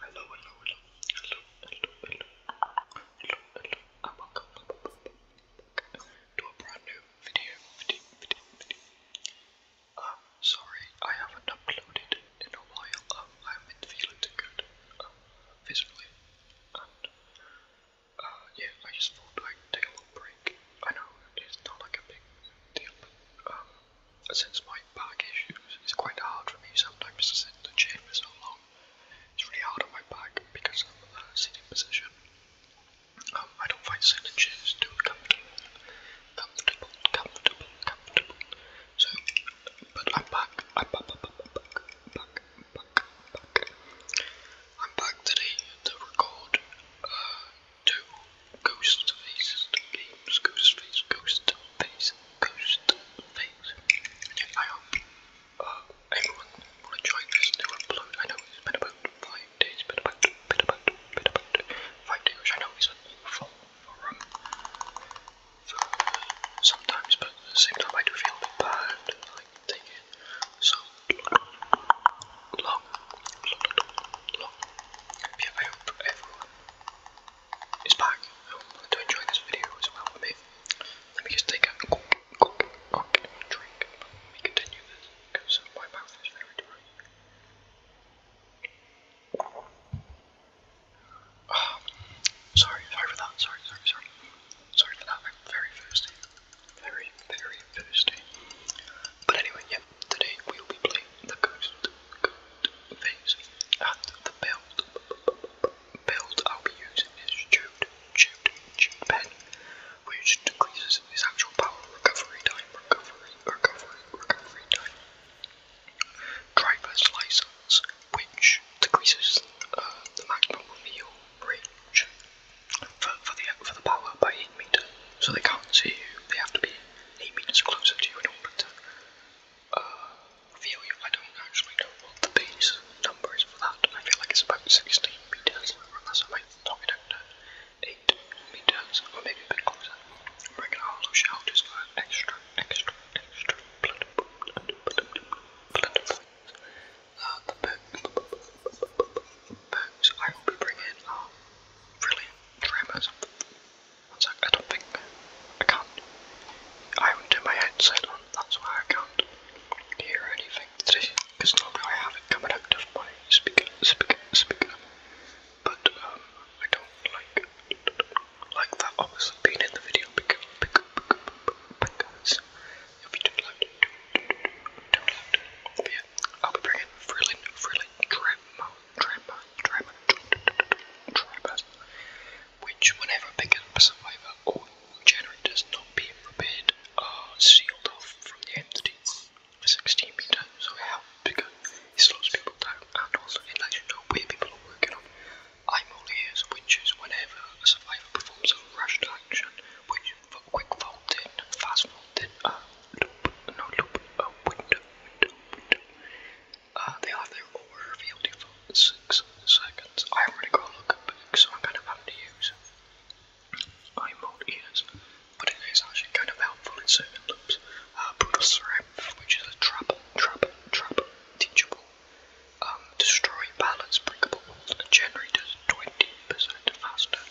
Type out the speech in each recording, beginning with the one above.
Hello, hello, hello, hello, hello, hello, hello, hello, and welcome to a brand new video, video, video, video. Um, sorry, I haven't uploaded in a while. Um, I've been feeling too good, um, physically, and, uh, yeah, I just thought I'd take a little break. I know it's not like a big deal, um, since my back issues, it's quite hard for me sometimes to sit in the chair for so long. It's really hard on my back because of the uh, sitting position. Um, I don't find sitting chairs too comfortable. Comfortable, comfortable, comfortable. So, but I'm back. I'm back, back, back, back, back, back. I'm back today to record uh, two Ghost Face Games, Ghost Face, Ghost Face, Ghost Face. Yeah, I hope uh, everyone will enjoy this new upload. I know it's been about five days, been about, been about, been about five days, which I know is awful for, um, for sometimes, but at the same time I do feel a bit bad, like, taking so long, long, long. Yeah, I hope everyone is back. I hope to enjoy this video as well with Let me just take a drink before we continue this because my mouth is very dry. Oh, sorry, sorry for that. Sorry, sorry, sorry. Sorry for that. I'm very thirsty. Very, very thirsty. But anyway, yeah, today we will be playing the Ghost, things and the build build I'll be using is chewed chewed chewed pen which decreases his actual power recovery time recovery recovery recovery time driver license which decreases uh, the maximum reveal range for, for the for the power by eight meters so they can't see you they have to be eight meters closer to you in order to uh, view. I don't actually know what the base number is for that. I feel like it's about 16 meters, unless I might knock it out to 8 meters, or maybe a bit closer. I'm bringing all those for extra, extra, extra blood, blood, blood, blood, uh, the perks I will be bringing are um, brilliant tremors. I was like, I don't think I can't. I haven't done my headset on, that's why I can't hear anything today. Because normally I have it coming out of my speaker, speaker, speaker. But um, I don't like like that obviously being in the video because because it'll be too loud, too, too, too loud. But yeah, I'll be bringing thrilling, thrilling trap mode. Trapper, Trapper, Trapper, which whenever picked up a survivor, all generators not being repaired are sealed off from the entity. A 16 meter, so it because it slows people down and also it lets you know where people are I'm all ears, which is whenever a survivor performs a rushed action, which for quick vault in, fast vault in, uh, loop, no loop, uh, window, window, window, uh, they have their aura revealed in seconds. I already got a look at books, so I'm kind of having to use eye mold ears, but it is actually kind of helpful in certain loops. Uh, brutal strength, which is a trap, trap, trap, teachable. Um, destroy balance, breakable walls, and generators 20% faster.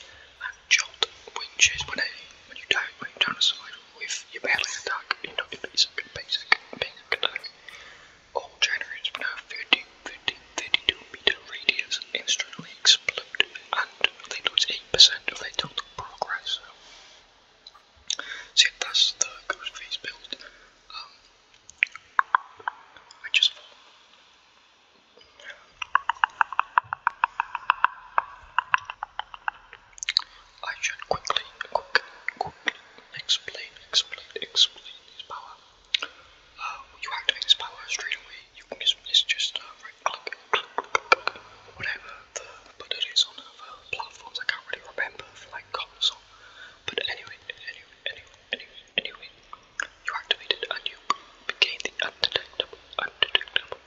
And jolt, which is when, it, when you die, when you down a slide with your melee attack. You know, it's a basic, basic attack. All generators with a 13, 15, 32 meter radius instantly explode and they lose 8% of their total progress. So yeah, that's the Ghost Face build. Um, I just I should quickly, quick, quickly explain, explain, explain his power. Uh, um, when you activate his power straight away, you can just, it's just uh, right click, click, click, click, whatever the, but it is on other platforms, I can't really remember for like console. But anyway, anyway, anyway, anyway, anyway, you activate it and you gain the undetectable, undetectable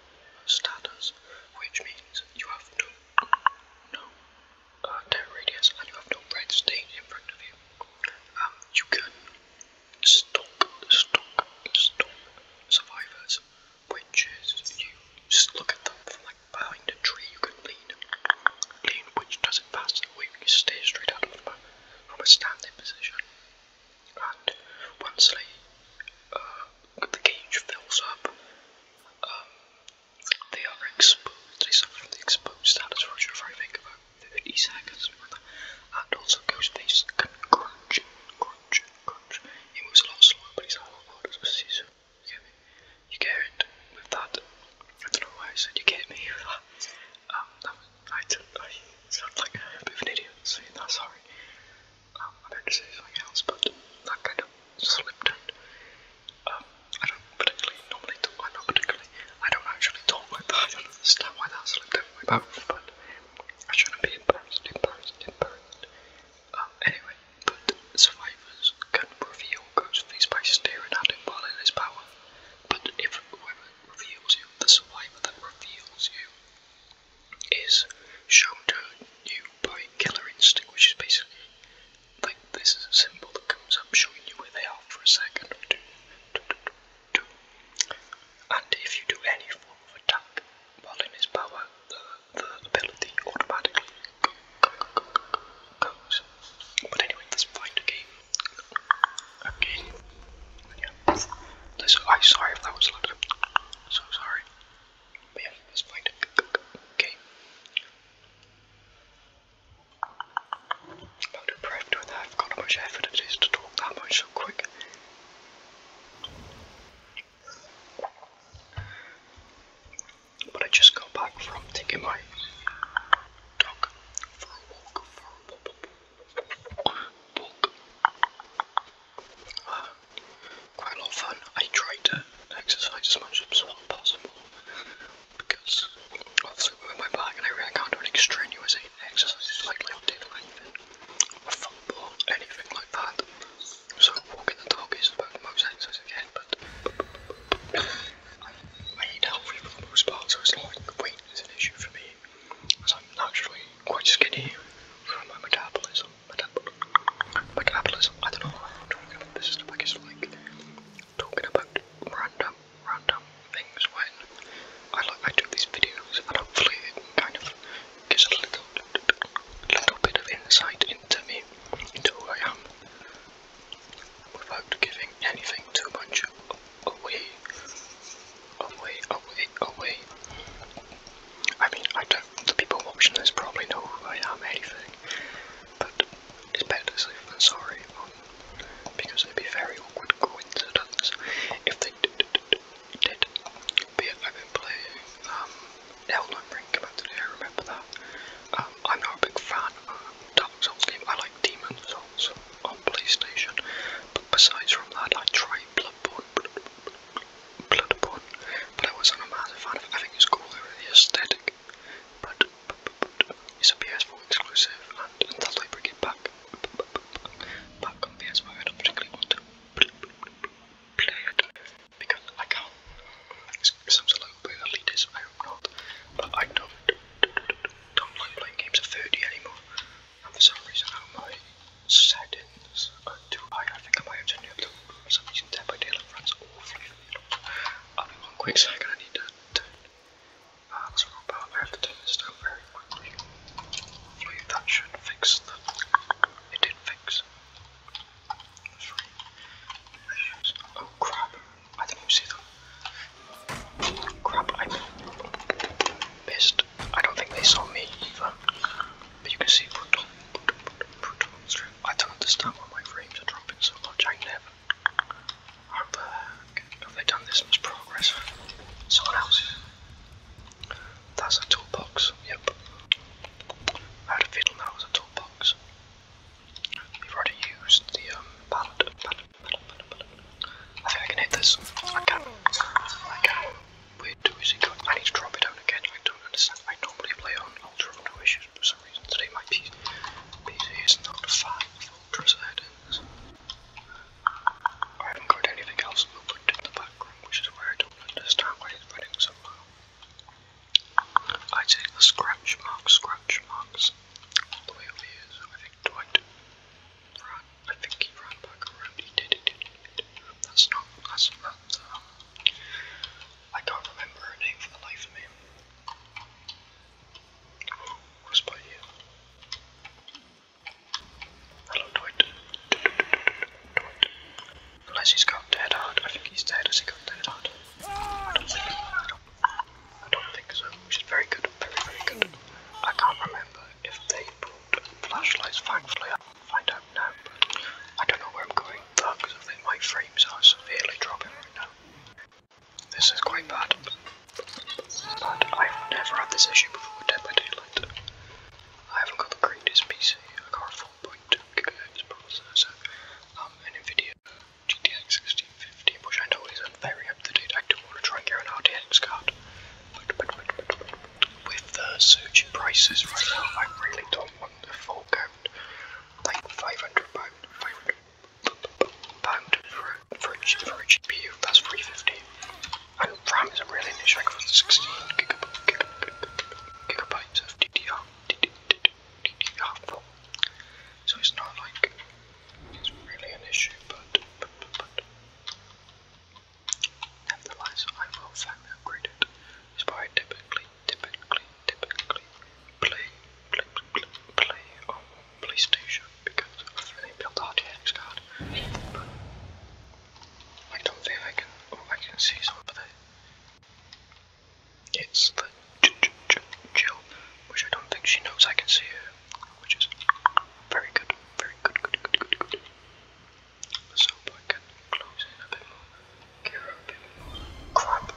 status, which means you have no, no, uh, 10 radius and you have no red stain in front of you, um, you can stomp, stomp, stomp survivors, which you just look at them from like behind a tree you can lean, lean which doesn't pass the way you straight out from a, from a standing position. And once uh, the cage fills up, um, they are exposed, they suffer from the exposed status, which if I think 50 seconds, and also Ghostface can crunch, crunch, crunch. He moves a lot slower, but he's a lot harder to see, you get me? You get it with that. I don't know why I said you get me um, that. was, I, did, like a bit of an idiot saying that, sorry. Um, I meant to say something else, but that kind of slipped out. Um, I don't particularly normally talk, well, not particularly, I don't actually talk like that, I don't understand why that slipped out of my mouth, but I shouldn't be embarrassed, embarrassed, embarrassed. Um, anyway, but survivors can reveal Ghostface by staring at him while in his power, but if whoever reveals you, the survivor that reveals you, is shown to you by Killer Instinct, which is basically think this is a symbol that comes up showing you where they are for a second or two. And if you do any form of attack while in his power, the, the ability automatically goes. But anyway, let's find Okay. Yeah. This, I'm sorry if that was loud. So sorry. yeah, let's find I'm impressed with that. I've got how much effort it is to talk that much so quick. But I just got back from taking my dog for a walk, ah quite a lot of fun. I try to exercise as much as possible because obviously with my back and I really can't do any strenuous exercise, like lifting, lengthen, or football, anything like that. So walking the dog is about the most exercise I get, but I, I eat healthy for the most part, so it's not like weight is an issue for me because I'm naturally quite skinny from my metabolism. Metabolism, I don't know I'm talking about, this is the biggest one talking about random, random things when I I do these videos, and hopefully it kind of gives a little, little bit of insight into me, into who I am, without giving anything too much away, away, away, away. I mean, I don't. The people watching this probably know who I am, anything, but is better safe than sorry because it'd be very awkward coincidence if they did. did. But yeah, I've been playing um, Elden Ring about I remember that. Um, I'm not a big fan of Dark Souls game, I like Demon Souls on PlayStation, but besides from that, I tried Bloodborne. Bloodborne, but I wasn't a massive fan of it. I think it's cool, the aesthetic it's a PS4 exclusive and until they bring it back, back on PS4 I don't particularly want to play it because I can't. It sounds a little elitist, I hope not, but I don't, don't like playing games at 30 anymore and for some reason my settings are too high, I think I might have turned it up to some reason Dead by Daylight runs awfully I'll be one quick second, I need to turn uh, the scroll bar. I have to turn this down very quickly. Hopefully that should fix the... It did fix. Three. Oh crap, I didn't even see them. Crap, I'm pissed. I don't think they saw me either. But you can see Brutal, Brutal, Brutal, I don't understand why my frames are dropping so much. I never. How the heck have they done this much progress? Someone else's. That's a toolbox. Yep. I had a feeling that was a toolbox. We've already used the um, I think I can hit this. I can. I can. Wait, do is I need to drop it down again. I don't understand. I normally play on ultra low issues today my PC, is not fine for settings. I haven't got anything else moved in the background, which is where I don't understand why it's running so low. I take the scratch marks, scratch marks, the way over here, I think Dwight ran, I think he ran back around, he did, he did, he did. That's not, that's, that's, um, I can't remember her name for the life of me. Who's by you? Hello, Dwight. Dwight. Unless he's got dead hard. I think he's dead. Has he got dead hard? I don't think, I don't, I don't think so. She's very good. Very, very good. I can't remember if they brought flashlights. Thankfully, I'll find out now. But I don't know where I'm going because I think my frames are severely dropping right now. This is quite bad. But I've never had this issue before Dead by Daylight. I haven't got the greatest PC, I got processor, um, an NVIDIA GTX 1650, which I know is very up to date. I do want to try and get an RTX card. But, with the surge in prices right now, I really don't want the full count. Like 500 pound, 500 pound for, for, for a GPU, that's 350. And RAM is a really niche, I go 16 gigabytes, of DDR, DDR4. So it's not like it's really an issue, but, nevertheless, I will finally upgrade it. It's why typically typically, typically play, play, play, play PlayStation because I didn't build the card. I don't think I can. Oh, I can see something. It's the J J J Jill, which I don't think she knows I can see her, which is very good, very good, good, good, good, good. So I can close in a bit more. Crap.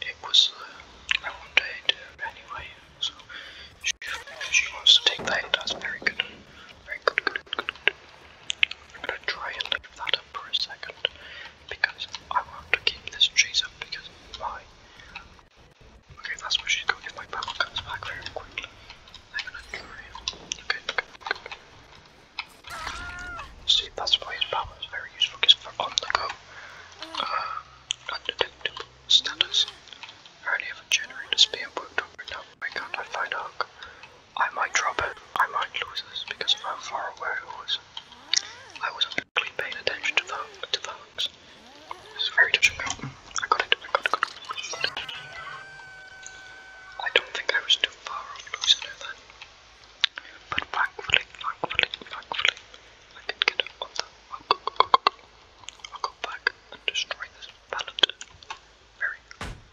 It was uh, a one day anyway, so she, wants to take that, that's very good. Very good, good, good, gonna try and leave that up for a second because I want to keep this cheese up because my. Okay, that's where she's going my bubble comes back very quickly. I'm gonna try Okay, See, that's why his power is very useful, because for on the go, uh, undetectable status. I only have a generator's being worked on now. Why can't I find Ark? I might drop it. I might lose this because of how far away it was. I wasn't paying attention to the to the hooks. very touch I got it. I don't think I was too far off losing it then. But thankfully, thankfully, thankfully, I can get it on the I'll go back destroy this pallet very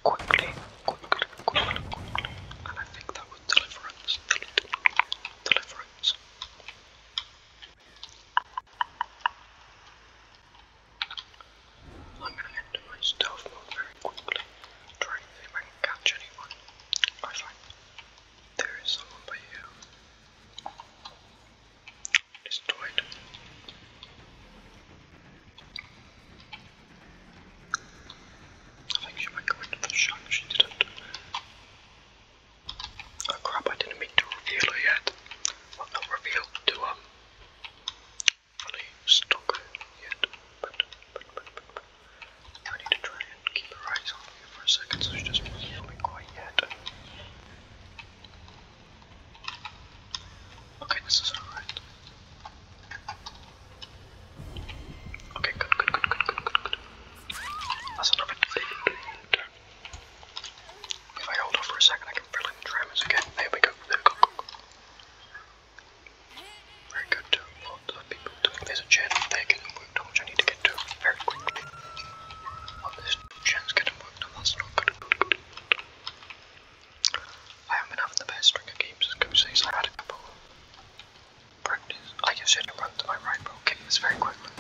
quickly, quickly, quickly, quickly. And I think that was deliverance, deliverance. I'm gonna end my stealth mode very quickly, trying to see if I can catch anyone. I find there is someone by you. Destroyed. I think she might go into the if she didn't. Oh crap, I didn't mean to reveal her yet. Well, not reveal, to, um, really stalk yet. I need to try and keep her eyes on you for a second, so she doesn't really know me quite yet. Okay, this is alright. Okay, good, good, good, good, good, good, good. That's enough of If I hold off for a second, I can fill in the again. There we go, there we go. Very good. Well lot of people doing this channel, they're getting worked on, I need to get to very quickly. Oh, there's two getting worked on, that's not good. good, I have having the best string games as Goose says. I had a couple practice. I guess I did run to my right, but I'll get very quickly.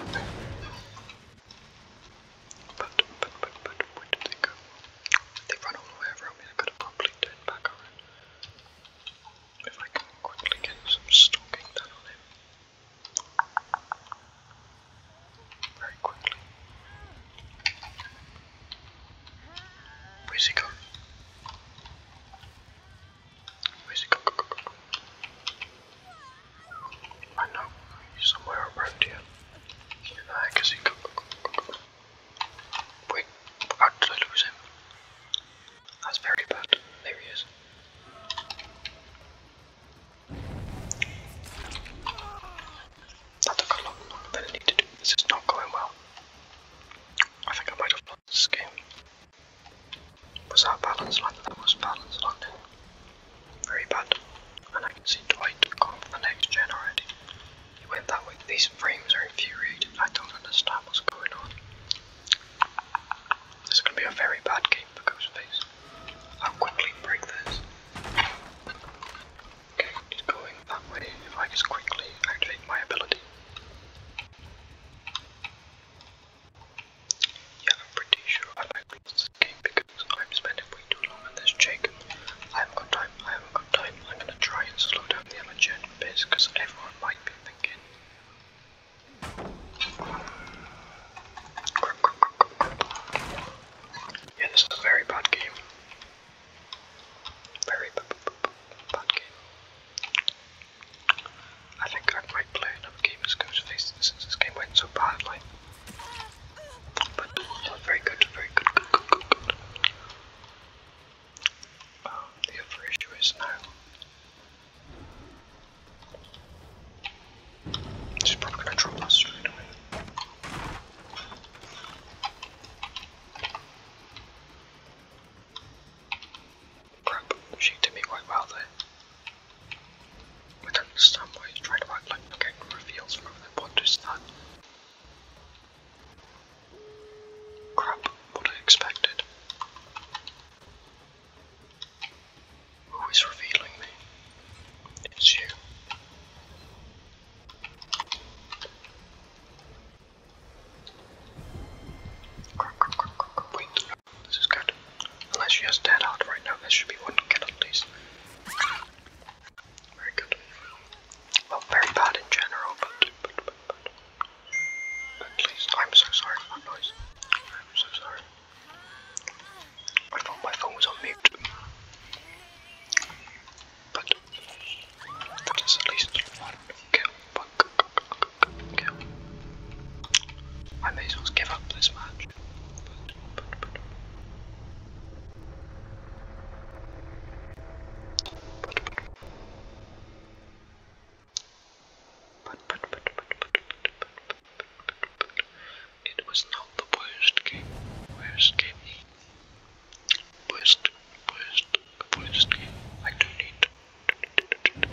But, but, but, but, where did they go? They run all the way around me, they could have probably turned back around if I can quickly get some stalking done on him. Very quickly. Where's he gone? Where's he gone? I know, he's somewhere around here. Where the heck he Wait, how did I him? That's very bad. There he is. That took a lot longer than it needed to. This is not going well. I think I might have lost this game. Was that balanced? that was balanced, Very bad. And I can see Dwight gone for the next gen already. He went that way. These frames are infuriated. I don't understand what's going on. This is going to be a very bad game for Ghostface. I'll quickly break this. Okay, going that way. If I just quickly activate my ability. Yeah, I'm pretty sure I might lose this game because I'm spending way too long on this Jake. I have got time, I have got time. I'm gonna try and slow down the amateur a bit because everyone might be thinking, yeah, this is a very bad game. Very bad game. I think I might play another game as this game went so badly. But oh, very good, very good, good, oh, the other is now She's probably gonna drop us straight away. Crap, she did me quite well there. I don't understand why he's trying to act like the game reveals from over what is that? Crap, what I expected. Who is revealing me? It's you. this is good. Unless she has dead out right now, there should be one kill at Very good. Well, very bad in general, but. At least I'm so sorry for that noise. I'm so sorry. I thought my phone was on mute. But that is at least one kill. kill. I may as well give up this match. But, but, but. But, but. But, but, but, but, but, but, but, but, it was not the worst game. Worst game. Worst, worst, worst game. I don't need.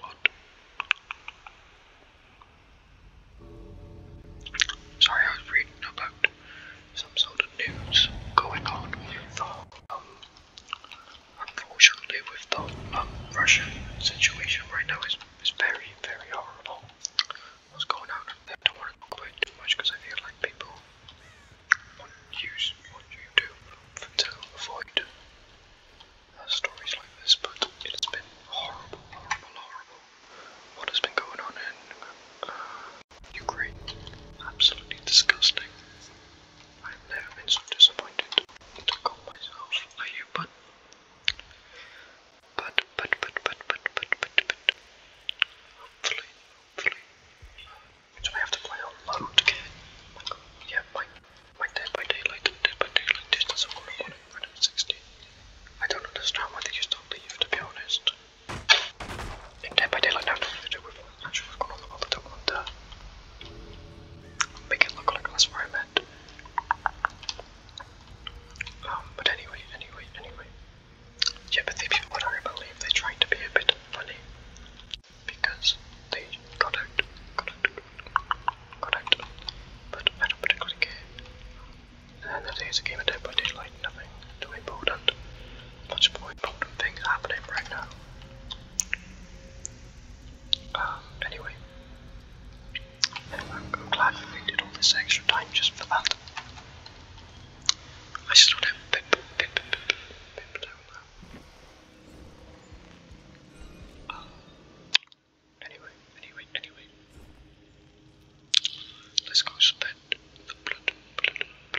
But sorry, I was reading about some sort of news going on with the, um, unfortunately with the um, Russian situation right now is, is very, very horrible. What's going on? don't want to talk about too much because I feel like people want you, you to, to avoid uh, stories like this, but it's been horrible, horrible, What has been going on uh, Ukraine. Absolutely disgusting. I've never been so disappointed to call myself a human. But, but, but, but, but, but, but, but, hopefully, hopefully. Do I have to play on again? yeah, my, my Dead by Daylight and Dead by Daylight distance of 116. I don't understand why they just don't leave, to be honest in by Daylight now nothing to do with actually what's going on in the world. I don't want make it look like that's where I meant. Um, but anyway, anyway, anyway. Yeah, but they, what I believe they're trying to be a bit funny because they got out, got But I don't particularly care. And that is a game of Dead by Daylight, nothing too important. Much more important things happening right now. Um, anyway. anyway I'm, glad we did all this extra time just for that. I just want to pip, Um, anyway, anyway, anyway. Let's go spend the blood,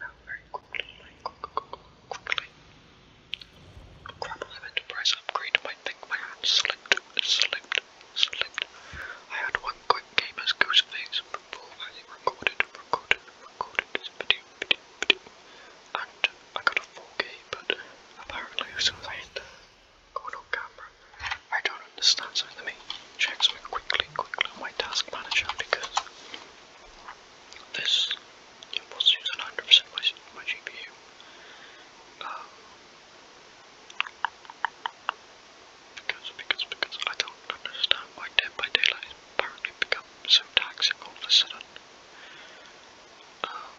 now, very quickly, quickly, quickly. Crap, I meant upgrade, but I my hand slipped, slipped, slipped. I had one quick game as Gooseface before I recorded, recorded, recorded this video, video, video. And I got a 4K, but apparently as soon on camera, I don't understand, so let me check something quickly, quickly on my task manager because this was using 100% my, my GPU. Um, because, because, because I don't understand why Dead by Daylight has apparently become so taxing all of a sudden. Um,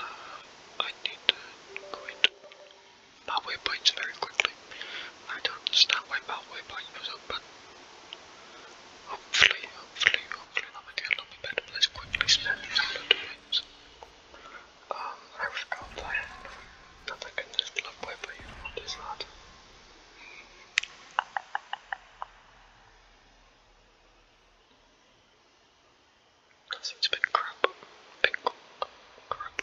uh, I need to quit Bob points very quickly. I don't understand why Bob Way Point was up, hopefully, hopefully, hopefully Armadillo will be better placed quickly so that he's able to Um, I was out there. Now can just love Way by you. What is that? That seems a crap. crap.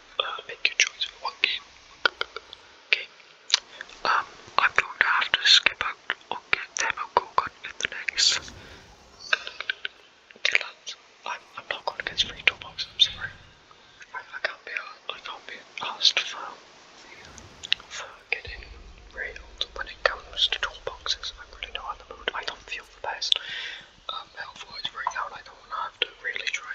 uh, Okay. I'm going to have to skip out on get demo Gorgon in the next. Okay, I'm, not going to get free toolbox, I'm sorry. I, I can't be I can't be asked for for getting railed when it comes to toolboxes. I'm really not in the mood. I don't feel the best. Um, health-wise right now, I don't want to have to really try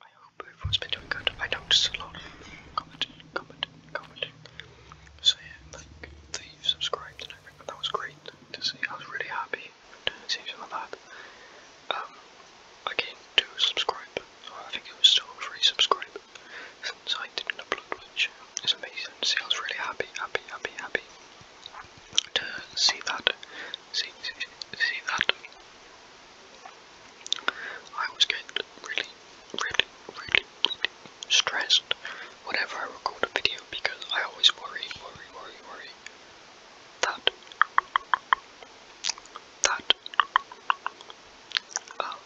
I hope everyone's been doing good. I noticed a lot of commenting, commenting, commenting, saying like they subscribed and everything. That was great to see. I was really happy to see some that. Um, I came subscribe, oh, I think it was still free subscribe since I didn't upload, which is amazing. See, I was really happy, happy, happy, happy to see that see, see that? I always get really, really, really, really stressed whenever I record a video because I always worry, worry, worry, worry that, that, um,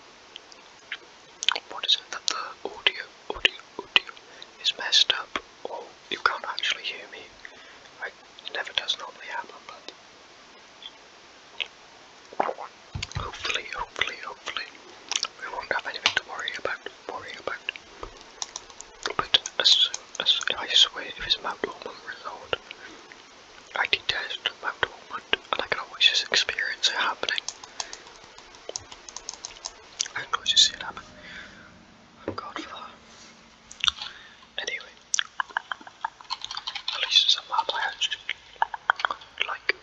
what is it, that the audio, audio, audio is messed up or you can't actually hear me. I it never does normally happen, but hopefully, hopefully, hopefully, we won't have anything to worry about, worry about. But as as I swear, if it's Mount Ormond Resort, I detest Mount Ormond, and I can always just experience it happening. I always see it happen. God Anyway, at least it's a I like.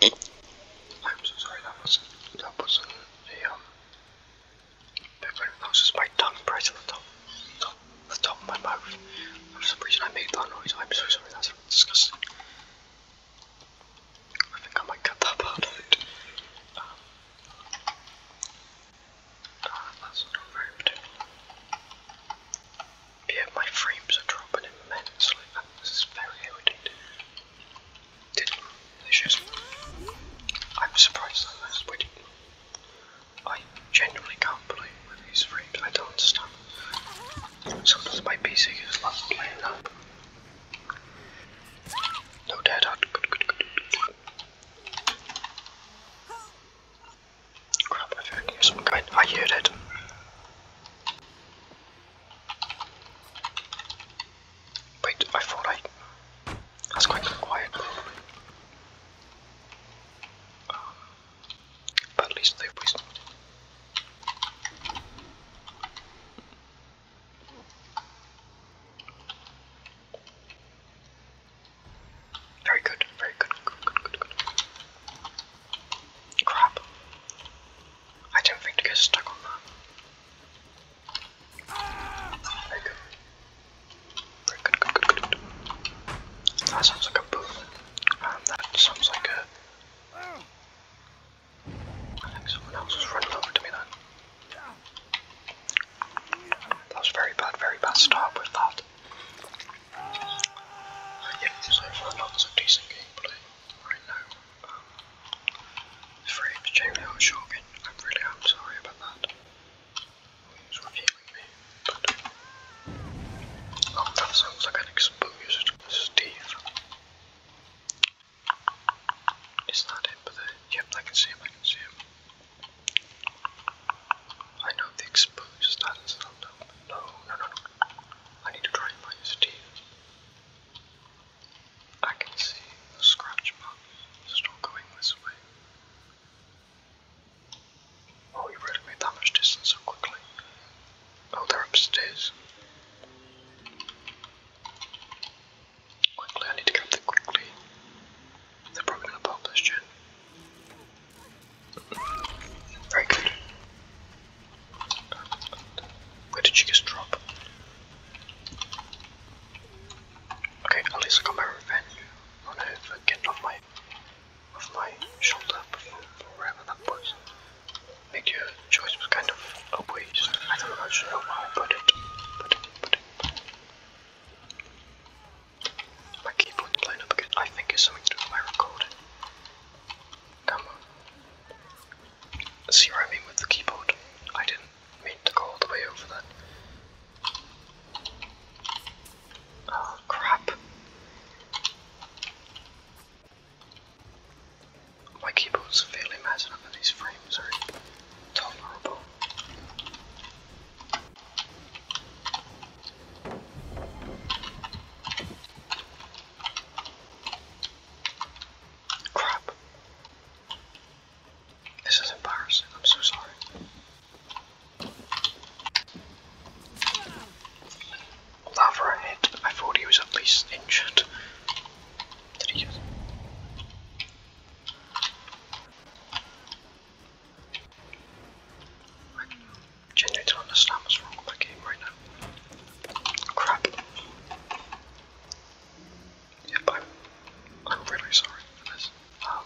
I'm sorry that wasn't that wasn't the um that was just my tongue pressed the top, the top of my mouth. For some reason I made that noise. I'm so sorry, that's disgusting. I think I might cut that part out. Um, Ah, I'm Yeah, my frames are dropping immensely. This is very irritating. Didn't just I'm surprised that this would I genuinely can't believe these frames, I don't understand. Sometimes my PC is not playing up. No data. Crap, I found you some kind. Are you dead? Wait, I thought I. That's quite quiet. Um, but at least they wasted. Very good, very good, Crap. I don't think to get stuck that. Very good. Very good, That sounds like a boom. Um, that sounds like a... I think someone else was running over to me then. That was very bad, very bad Stop with that. Yeah, so far not so decent gameplay right now. Um, the frames shocking. I really am sorry about that. He's reviewing me, oh, that sounds like an exposed Steve. Is that him? But yep, I can see him. I can see him. I know the exposed status of No, no, no, no. I need to try and find I can see the scratch mark still going this way. Oh, you really made that much distance so quickly. Oh, they're upstairs. Quickly, I need to get there quickly. They're probably gonna Very good. Where did she just drop? Okay, at least I got my revenge on her for off my off my shoulder before that was. Make your choice was kind of a waste. I don't know, I should put it. Put it, put it. My keyboard's playing up again. I think it's something to do with my recording. Come on. See what with the keyboard? I didn't mean to go all the way over that. Oh crap. My keyboard's severely messing up these frames are intolerable. Crap. This is embarrassing. I'm so sorry. That I thought he was at least injured. Did he I genuinely don't understand what's wrong with my game right now. Crap. Yep, I'm, I'm really sorry this. Um,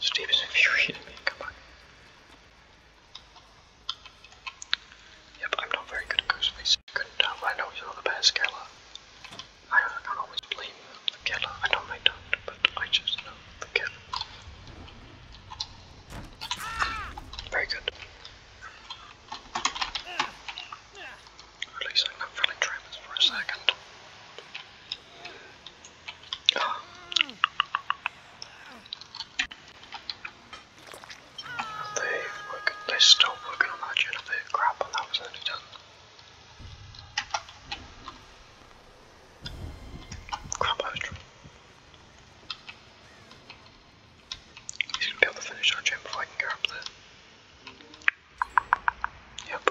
Steve is infuriating me, come back. Yep, I'm not very good at Ghostface. Couldn't uh, I know he's not the best killer. I don't, I don't always blame the killer. I know I don't, but I just know the killer. Very good. At least I'm not feeling trapped for a second. They work, they still working on that generator crap, and that was only done Crap, I He's gonna be able to finish our gym before I can go up there. Yep.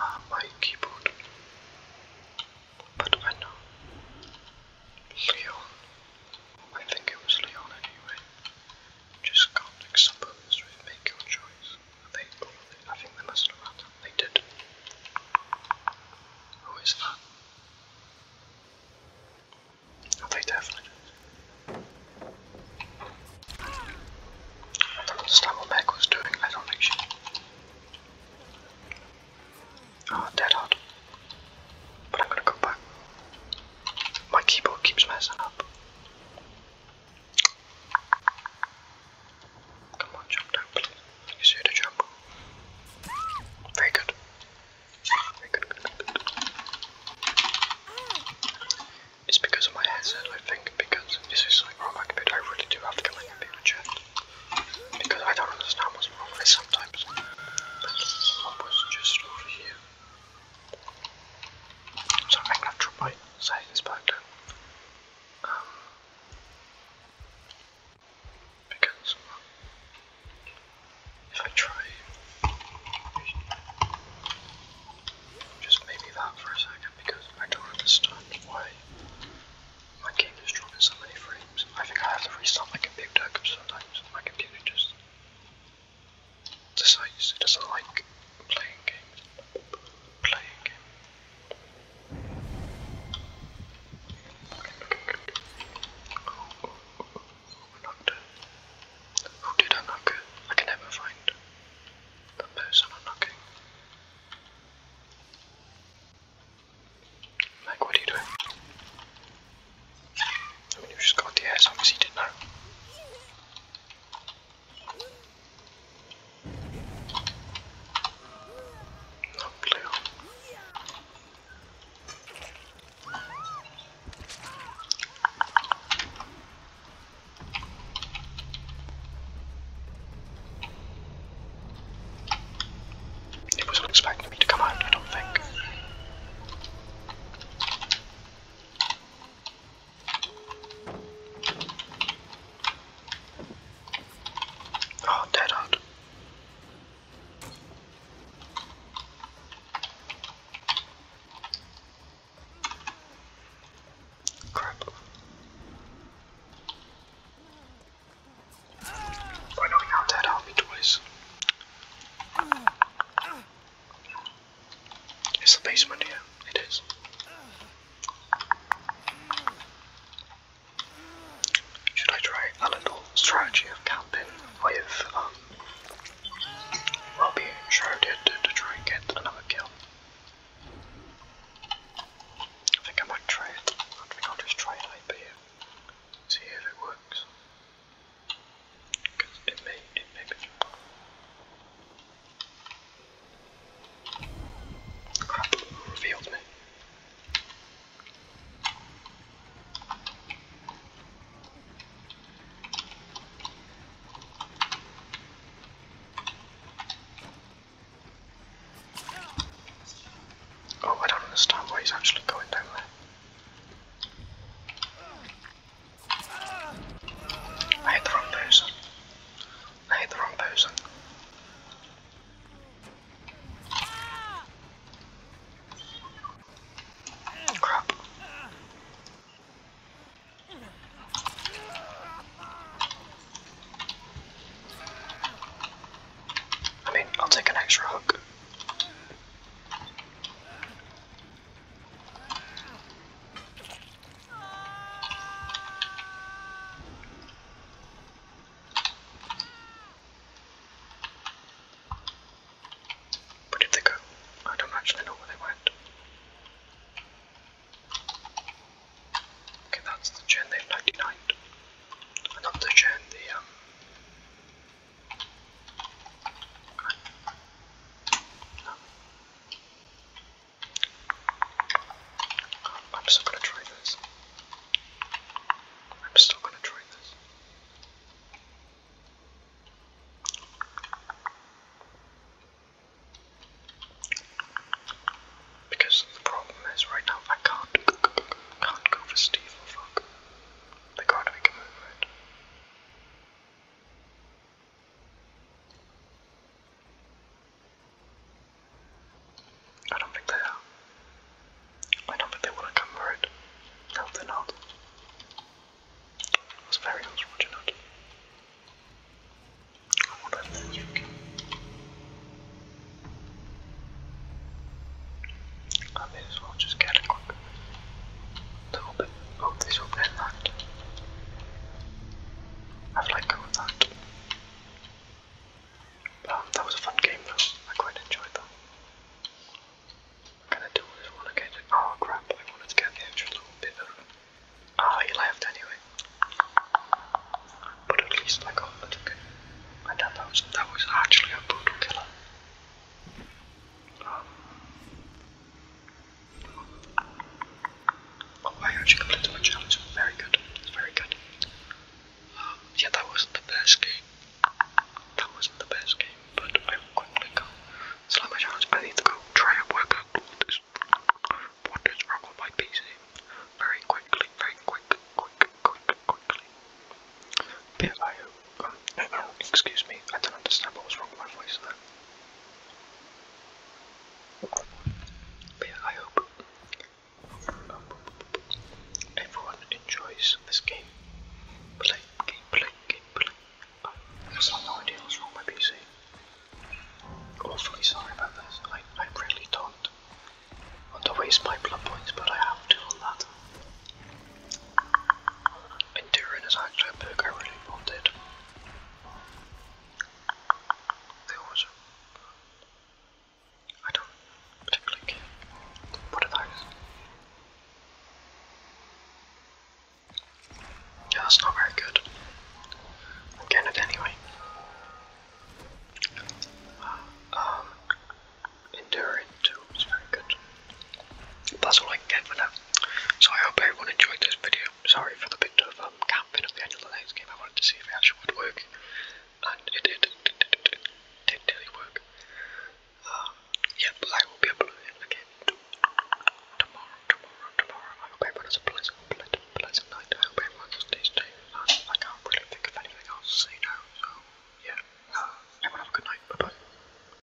Ah, my keyboard. But I know Leon. I think it was Leon anyway. Just can't accept make your choice. They, I think they messed around. They did. Who is that? Oh, they definitely did. what Meg was doing. I don't think she. Ah, oh, Deadheart. But I'm gonna go back. My keyboard keeps messing up. Come on, jump down, please. You see the jump? Very good. Very good, It's because of my headset, I think, because this is like wrong computer. I really do have to get my computer checked. Because I don't understand what's wrong with sometimes. what was just over here? So make natural by saying this back um, because if I try just maybe that for a second because I don't understand why my game is dropping so many frames. I think I have to restart my computer because sometimes my computer just decides he doesn't like playing games. Playing games. Oh, oh, oh, oh, we're I'm I can never find the person I'm knocking. Meg, what are you doing? I mean, he just got the air, so he didn't know. Not blue. It wasn't expecting me to come out, I don't think. Oh, dead out. Crap. I know we now dead out me twice. It's the basement here. Yeah, it is. Should I try a little strategy of camping with um well being to, to try and get another kill? I think I might try it. I think I'll just try it here. See if it works. Because me. Oh, I don't understand why he's actually going down there. I hit the wrong person. I hit the wrong person. Crap. I mean, I'll take an extra hook. Where did they go? I don't actually know where they went. Okay, that's the gen they've Another gen, the um I'm still gonna try this. I'm still gonna try this. Because the problem is right now I can't can't go for Steve fuck. They can't make a move I don't think they are. I don't think they would have come for it. No, they're not. It was very unfortunate. I may as well just get a quick to open oh this will open that. I've let go of that. that was a fun game though. I quite enjoyed that. I do? I just want to get it. Oh crap, I wanted to get the extra little bit of Ah, he left anyway. But at least I got the ticket. And that was that was actually a brutal killer. Oh, I actually completed my challenge. Very good. Very good. Um, yeah, that wasn't the best game. That wasn't the best game, but I will quickly go. So my challenge. I need to go try and work out what is, what is wrong with my PC. Very quickly, very quick, quick, quick, quickly. But I excuse me, I don't understand what was wrong with my voice But I hope everyone enjoys this game. I have no idea what's wrong with my PC. Awfully sorry about this, I, I really don't want to waste my blood points, but I have to Enduring is actually a book I really wanted. There was a... I don't particularly What are those? Yeah, that's not very good. I'm getting it anyway. Uh, um, very good that's all I can get for now. So I hope everyone enjoyed this video. Sorry for the bit of um, camping at the end of the next game. I wanted to see if it actually would work, and it did. Did really work. Um, yeah, but I will be uploading again tomorrow, tomorrow, tomorrow. I hope everyone has a pleasant, pleasant, pleasant night. I hope everyone stays safe. And I can't really think of anything else to say now. So yeah, uh, everyone have a good night. Bye bye.